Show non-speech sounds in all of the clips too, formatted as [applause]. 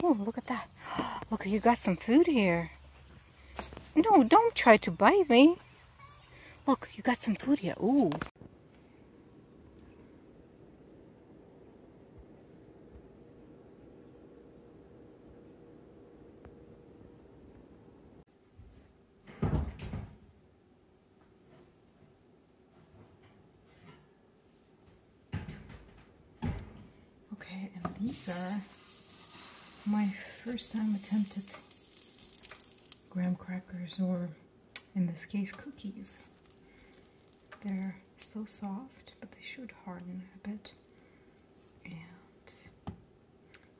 Oh, look at that. Look, you got some food here. No, don't try to bite me. Look, you got some food here. Ooh. Okay, and these are my first time attempted graham crackers or in this case cookies. They're still soft but they should harden a bit and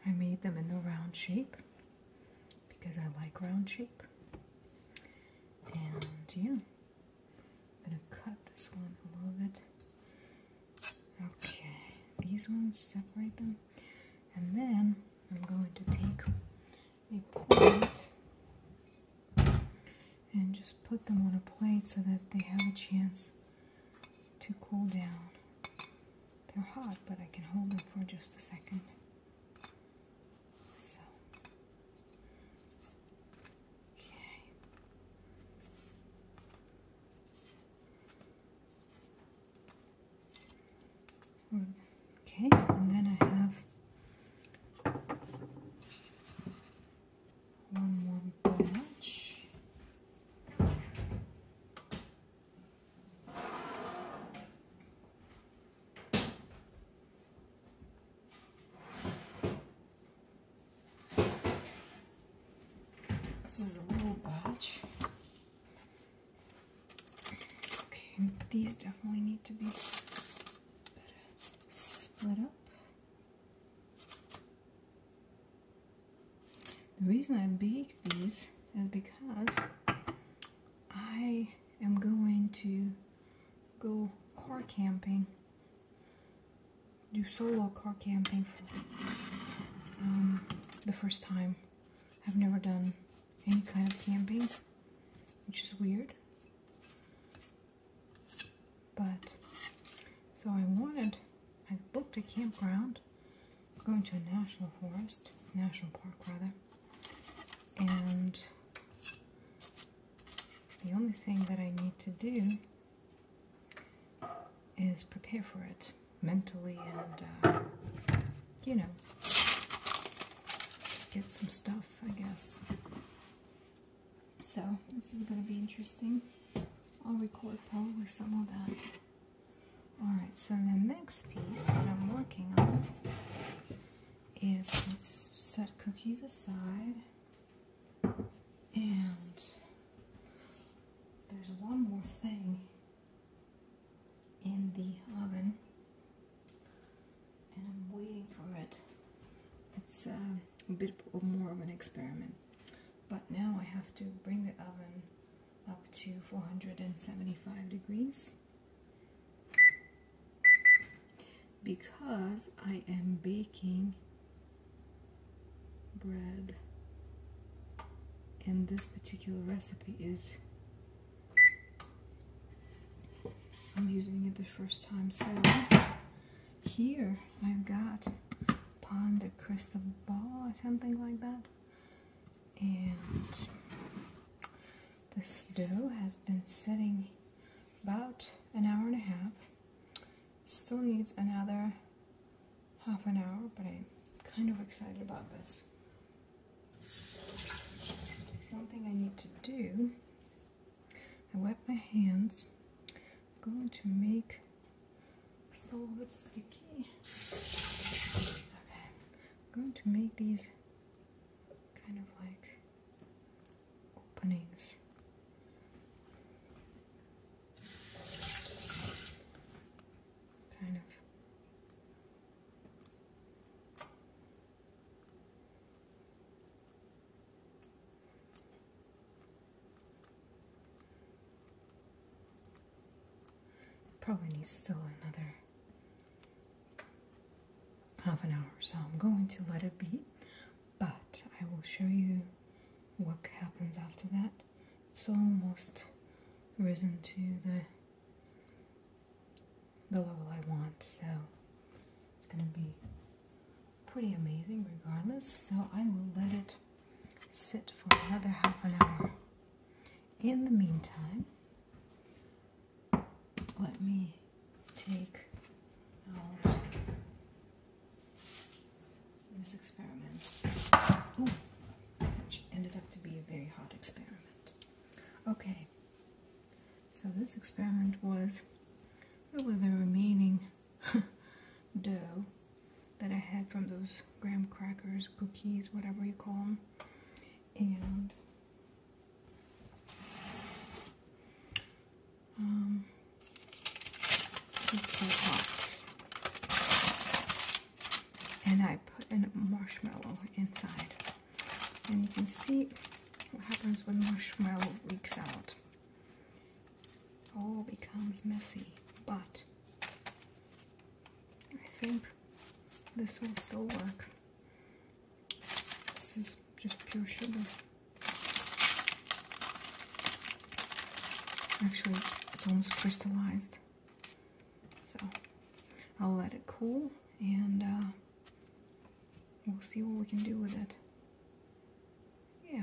I made them in the round shape because I like round shape and yeah I'm gonna cut this one a little bit okay these ones separate them and then I'm going to take a plate and just put them on a plate so that they have a chance to cool down. They're hot, but I can hold them for just a second. So, okay. Okay, and then I have one more batch. This is a little batch. Okay, these definitely need to be split up. The reason I baked these is because I am going to go car camping, do solo car camping for um, the first time. I've never done any kind of camping, which is weird. But so I wanted, I booked a campground going to a national forest, national park rather, and the only thing that I need to do is prepare for it mentally and, uh, you know, get some stuff, I guess. So, this is going to be interesting. I'll record probably some of that. Alright, so the next piece that I'm working on is let's set cookies aside. And there's one more thing in the oven and I'm waiting for it. It's um, a bit more of an experiment. But now I have to bring the oven up to 475 degrees because I am baking bread and this particular recipe is I'm using it the first time. So here I've got pond the crystal ball or something like that. And the dough has been sitting about an hour and a half. Still needs another half an hour, but I'm kind of excited about this. One thing I need to do, I wipe my hands, I'm going to make it's a bit sticky. Okay, I'm going to make these kind of like openings. Kind of Probably needs still another half an hour, so I'm going to let it be. But I will show you what happens after that. It's almost risen to the the level I want. So it's going to be pretty amazing regardless. So I will let it sit for another half an hour. In the meantime, let me take out this experiment, which ended up to be a very hot experiment. Okay, so this experiment was really the remaining [laughs] dough that I had from those graham crackers, cookies, whatever you call them, and um, this is and I put a marshmallow inside. And you can see what happens when marshmallow leaks out. All becomes messy, but I think this will still work. This is just pure sugar. Actually, it's, almost crystallized. So I'll let it cool and uh, we'll see what we can do with it. Yeah.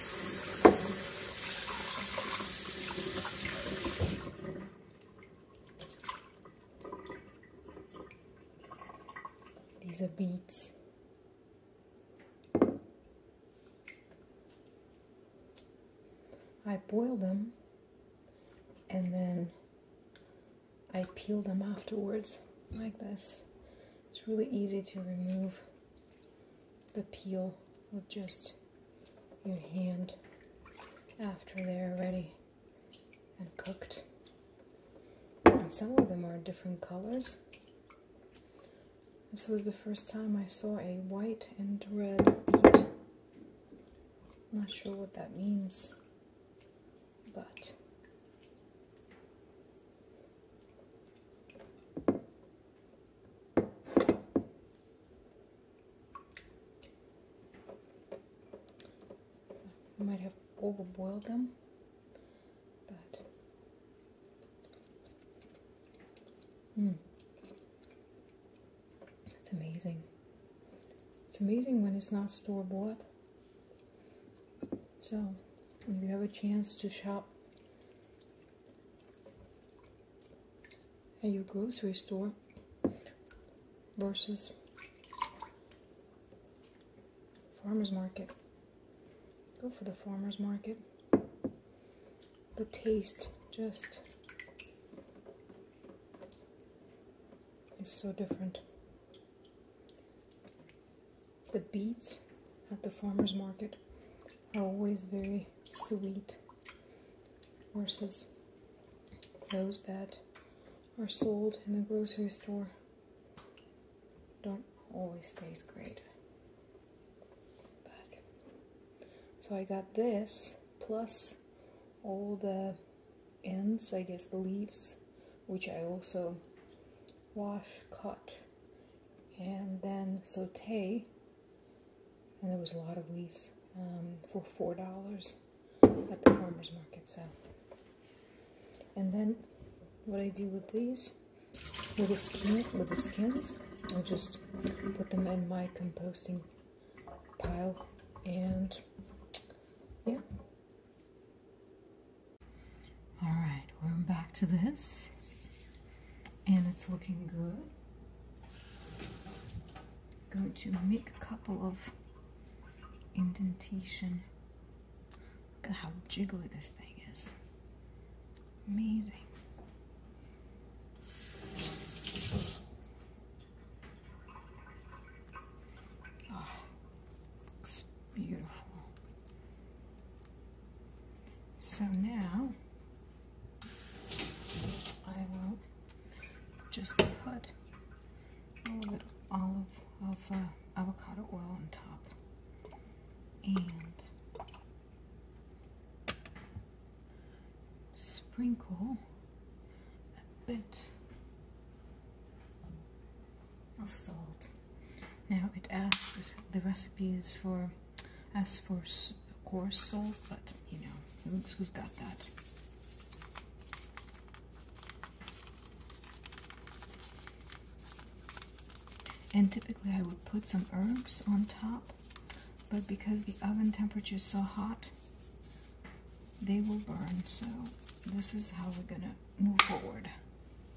These are beads. I boil them and then I peel them afterwards like this. It's really easy to remove the peel with just your hand after they're ready and cooked. some of them are different colors. This was the first time I saw a white and red beet. Not sure what that means, but might have overboiled them, but mm. it's amazing. It's amazing when it's not store-bought. So, if you have a chance to shop at your grocery store versus farmers market. Go for the farmers market. The taste just is so different. The beets at the farmers market always very sweet versus those that are sold in the grocery store don't always taste great. But so I got this plus all the ends, I guess the leaves, which I also wash, cut, and then saute and there was a lot of leaves um, for four dollars at the farmers market. So, and then what I do with these, with the skins, with the skins, I just put them in my composting pile, and yeah. All right, we're back to this and it's looking good. Going to make a couple of indentation. Look at how jiggly this thing is. Amazing. Ah, looks beautiful. So now I will just put a little olive of uh, avocado oil on top and sprinkle a bit of salt. Now it asks, the recipe is for as for coarse salt, but you know, who's got that. And typically I would put some herbs on top, but because the oven temperature is so hot, they will burn. So this is how we're gonna move forward.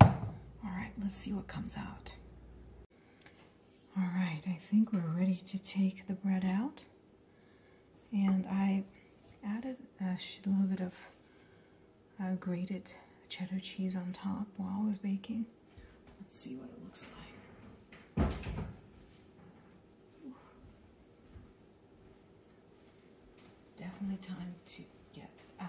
All right, let's see what comes out. All right, I think we're ready to take the bread out. And I added a little bit of uh, grated cheddar cheese on top while I was baking. Let's see what it looks like. Definitely time to get out.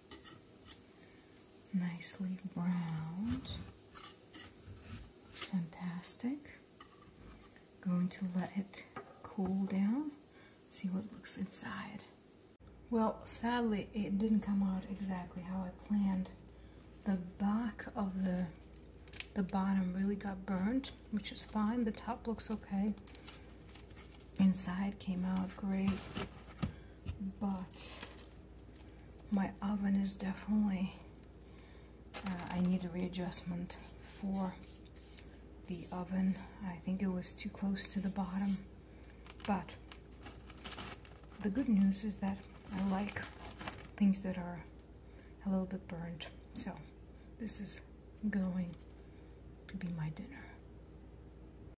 nicely browned. Fantastic. Going to let it cool down, see what looks inside. Well, sadly, it didn't come out exactly how I planned. The back of the the bottom really got burnt, which is fine. The top looks okay inside came out great but my oven is definitely uh, I need a readjustment for the oven I think it was too close to the bottom but the good news is that I like things that are a little bit burnt so this is going to be my dinner